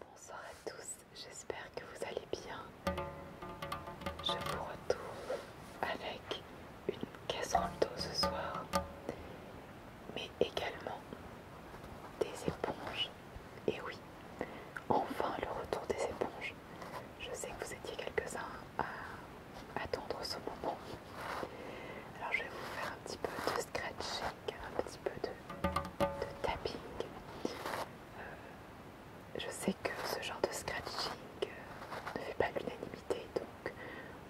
Bonsoir à tous, j'espère que vous allez bien. Je vous retrouve avec une casserole d'eau ce soir, mais également des éponges. Et oui, enfin le retour des éponges. Je sais que vous étiez quelques-uns à attendre ce moment. Alors je vais vous faire un petit peu de scratching, un petit peu de, tapping. Euh, je sais que ce genre de scratching euh, ne fait pas l'unanimité, donc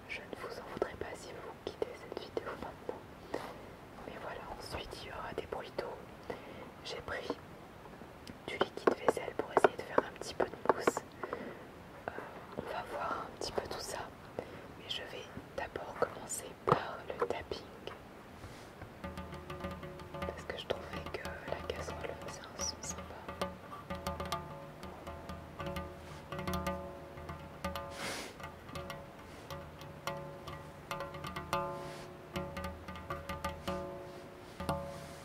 je ne vous en voudrais pas si vous quittez cette vidéo maintenant. Mais voilà, ensuite il y aura des bruits d'eau. J'ai pris du liquide vaisselle pour essayer de faire un petit peu de mousse. Euh, on va voir un petit peu tout ça. Mais je vais d'abord commencer par le tapping. Parce que je trouvais que la casserole faisait un son sympa.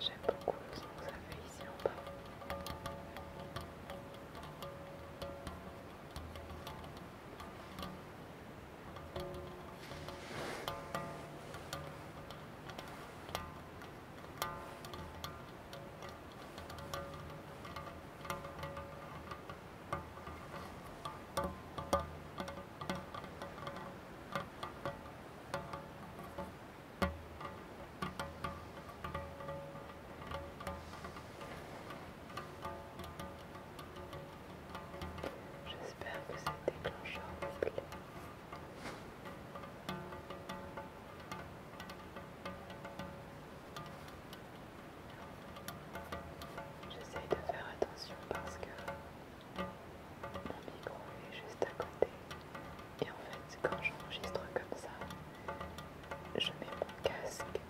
J'aime beaucoup le son que ça fait ici en bas. J'espère que c'est déclencheur J'essaie de faire attention parce que mon micro est juste à côté. Et en fait, quand j'enregistre comme ça, je mets mon casque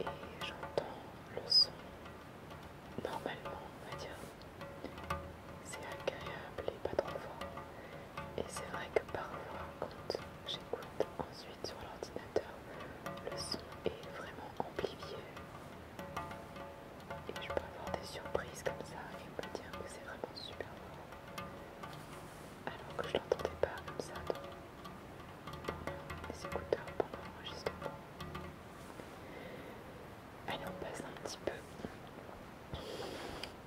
et j'entends le son normalement, on va dire. C'est agréable et pas trop fort. Et c'est vrai que parfois, quand j'écoute ensuite sur l'ordinateur, le son est vraiment amplifié. Et je peux avoir des surprises comme ça et me dire que c'est vraiment super beau Alors que je l'entendais pas comme ça les écouteurs pendant l'enregistrement. Allez, on passe un petit peu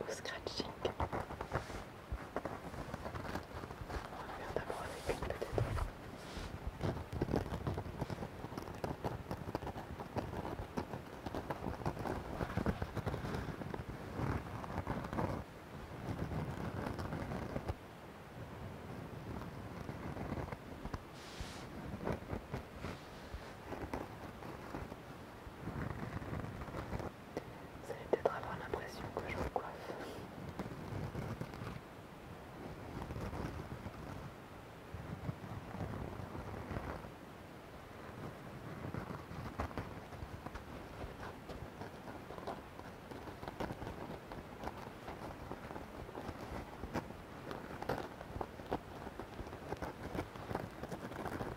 au scratching. On va faire d'abord avec une peut-être. Voilà. Vous allez peut-être avoir l'impression que je me coiffe.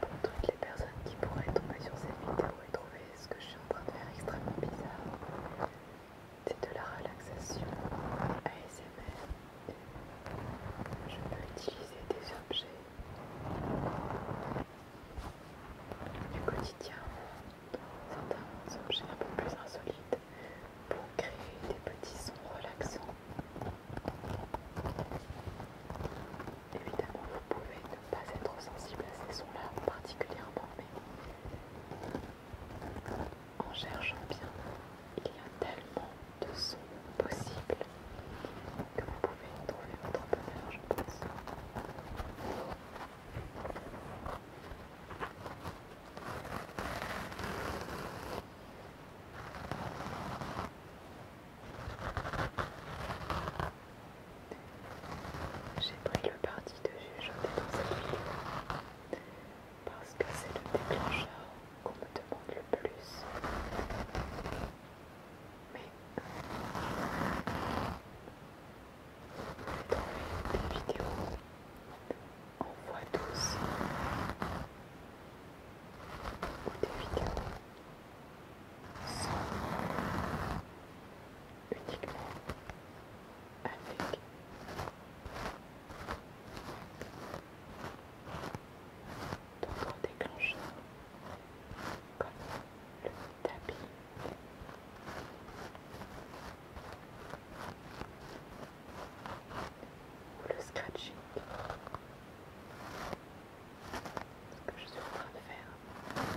Pour toutes les personnes qui pourraient tomber sur cette vidéo et trouver ce que je suis en train de faire extrêmement bizarre. C'est de la relaxation ASMR. Je peux utiliser des objets du quotidien, certains objets un peu plus insolites, pour créer des petits sons relaxants. Évidemment, vous pouvez ne pas être sensible à ces sons-là particulièrement, mais en cherchant bien, il y a tellement de sons possibles que vous pouvez y trouver votre bonheur, je pense. J'ai pris le parti de juger dans cette vidéo parce que c'est le déclencheur qu'on me demande le plus. Mais pouvez trouver des vidéos en voix douce ou des vidéos sans, uniquement avec d'autres déclencheurs comme le tapis. Ou le scratching ce que je suis en train de faire.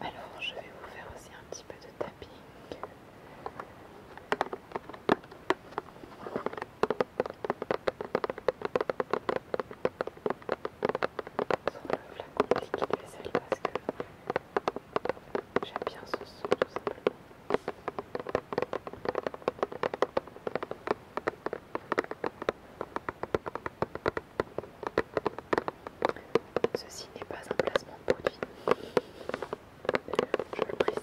Alors, je vais vous faire aussi un petit peu de tapping. Sur le flacon de liquide vaisselle parce que j'aime bien ce son tout simplement. Ceci n'est pas un placement de produit, je le précise.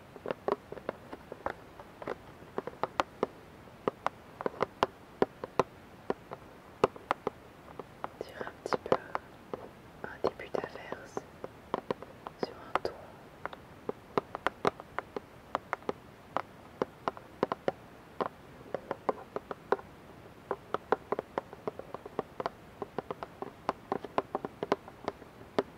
Tire un petit peu un début d'averse sur un tour.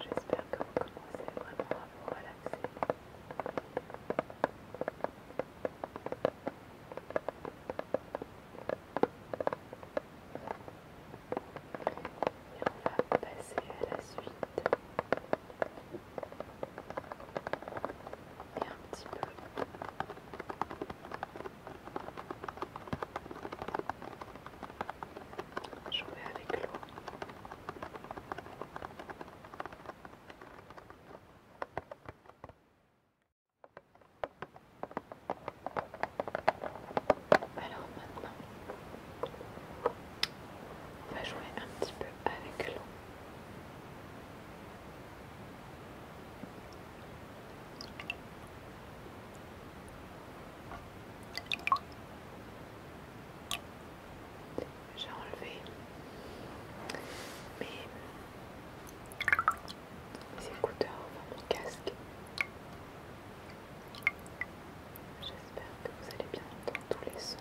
J'espère que vous commencez vraiment à vous relaxer. Et on va passer à la suite. Et un petit peu je avec l'eau. Alors maintenant, on va jouer un petit peu avec l'eau. J'ai enlevé, mes écouteurs, enfin mon casque. J'espère que vous allez bien entendre tous les sons.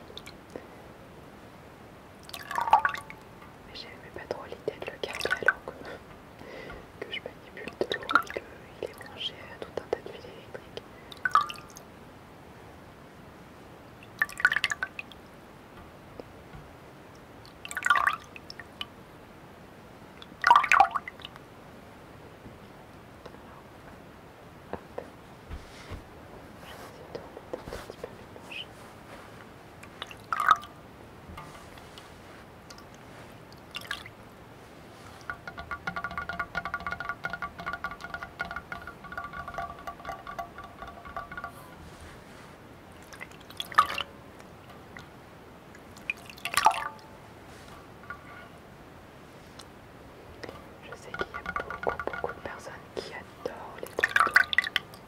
Mais j'aimais pas trop l'idée de le garder alors que, je manipule de l'eau et qu'il est branché à tout un tas de fils électriques. Alors, hop. Je vais essayer de remettre un petit peu mes manches. Voilà. Je sais qu'il y a beaucoup, beaucoup de personnes qui adorent les trucs.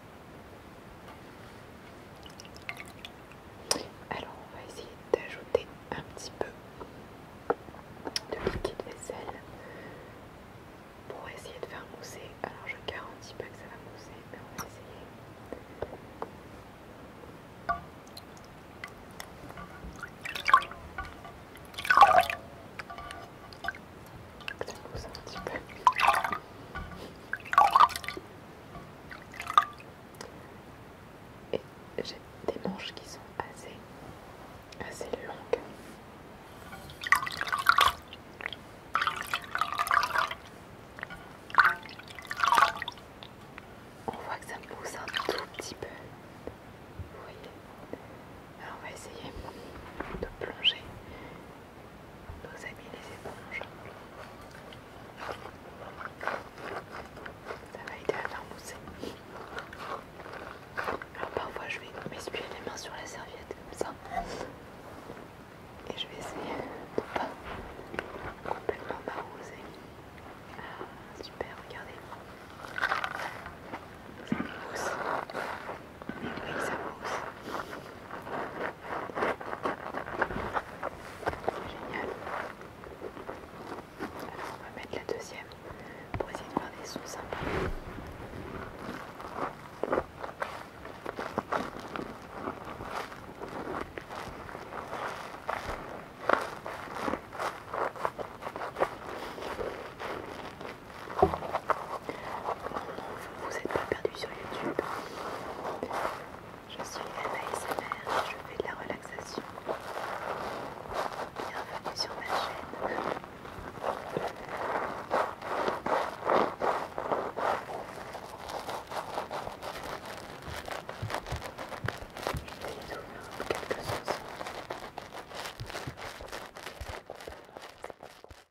Alors on va essayer d'ajouter un petit peu de liquide vaisselle pour essayer de faire mousser. Alors je garantis pas que ça va mousser, mais on va essayer. Ça mousse un petit peu. Et j'ai des manches qui sont assez, longues. On voit que ça pousse un tout petit peu. Vous voyez Alors on va essayer de plonger nos amis les éponges. Ça va aider à faire mousser. Alors parfois je vais m'essuyer les mains sur la serviette comme ça. Et je vais essayer de pas complètement m'arroser. Ah, super, regardez. Ça mousse. oui, ça mousse. Génial. on va mettre la deuxième pour essayer de faire des sons sympas vous n'êtes êtes pas perdu sur YouTube. Je suis Anna ASMR, je fais de la relaxation. Bienvenue sur ma chaîne.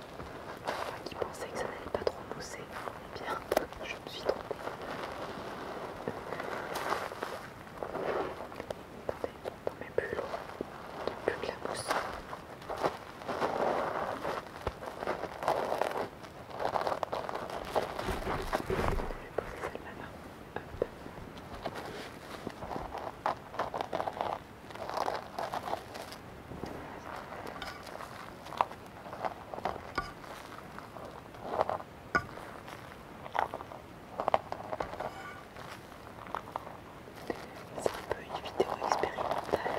Moi qui pensait que ça n'allait pas trop mousser, eh bien, je me suis trompée. Attendez, plus mes plus de la mousse. Je vais poser celle-là là. Hop. C'est un peu une vidéo expérimentale.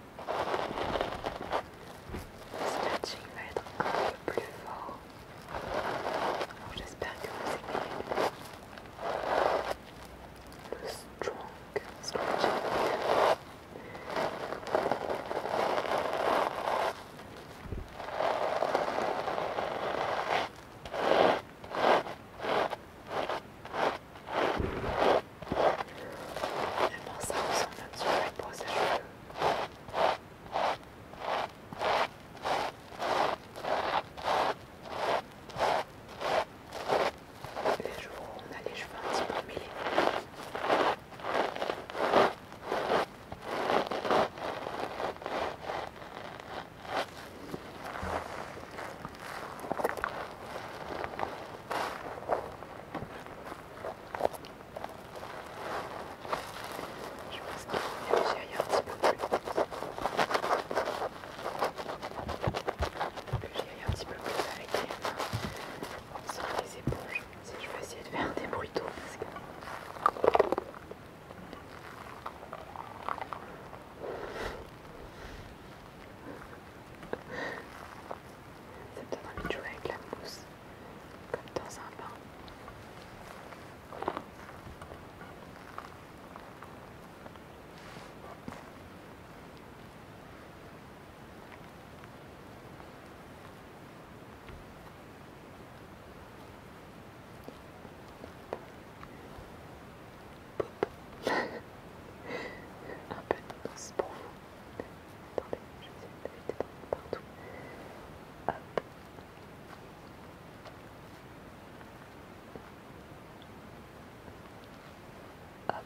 Le il va être un peu plus fort. Alors j'espère que vous aimez le strong stretching. Les ça ressemble un petit peu cheveux. Les on a les cheveux un petit peu mêlés. Je pense que j'ai réfléchir un petit peu plus. Que j'y aille un petit peu plus avec les les éponges. Si je veux essayer de faire des bruits d'eau, parce que. C'est me donne envie de jouer avec la mousse, comme dans un bain. Un peu de mousse pour vous. Attendez, essayer d'éviter d'en partout. Hop. Hop. Hop. Un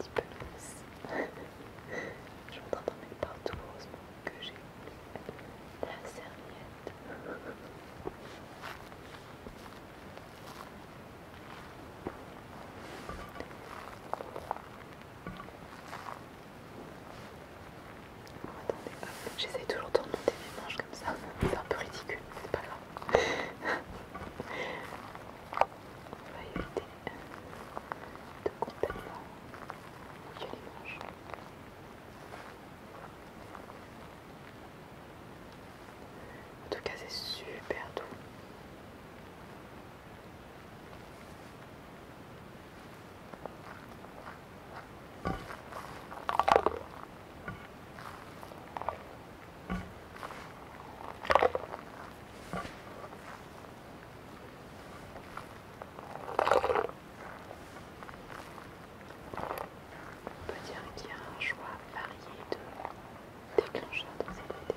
petit peu plus. Je suis en train d'en mettre partout, heureusement que j'ai la serviette. Attendez, j'essaie toujours de remonter les manches comme ça, c'est un peu ridicule, c'est pas grave. On va éviter de complètement mouiller les manches. En tout cas, c'est super doux. On peut dire qu'il y a un choix varié de déclencheurs dans ces vidéo.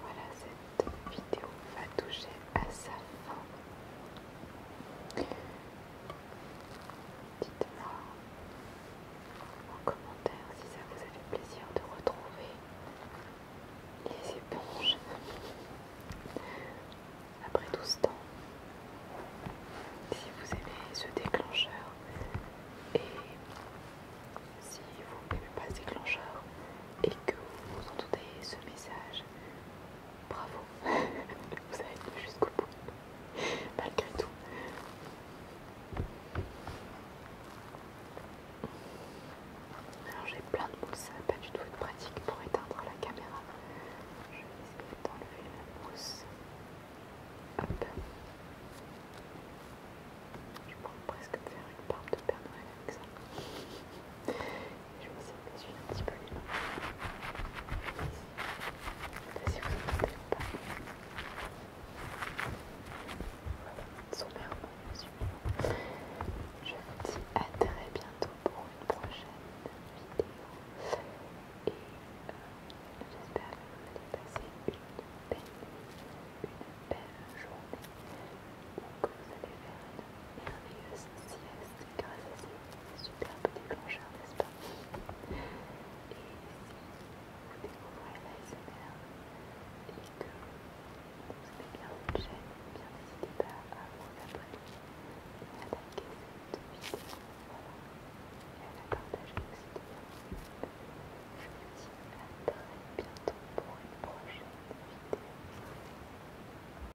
Voilà, cette vidéo va toucher à sa fin. Dites-moi en commentaire si ça vous a fait plaisir de retrouver les éponges après tout ce temps. Si vous aimez ce déclencheur et si vous n'aimez pas ce déclencheur et que vous entendez ce message, bravo, vous avez été jusqu'au bout, malgré tout. Alors j'ai plein de mousse, pas du tout de pratique pour éteindre la caméra. Je vais essayer d'enlever la mousse. Hop. Je pourrais presque faire une barbe de Père Noël avec ça. Je vais me suis suivre un petit peu les mains. Si vous n'entendez pas. Voilà, sommairement, résumé. Je vous dis à très bientôt pour une prochaine vidéo. Et euh, j'espère que vous allez passer une belle journée, vous allez faire merveilleuse sieste grâce à ces superbes déclencheurs, n'est-ce pas Et si vous découvrez l'ASMR et que vous avez bien une chaîne, n'hésitez pas à vous abonner et à liker cette vidéo et à la partager aussi Je vous dis à très bientôt pour une prochaine vidéo.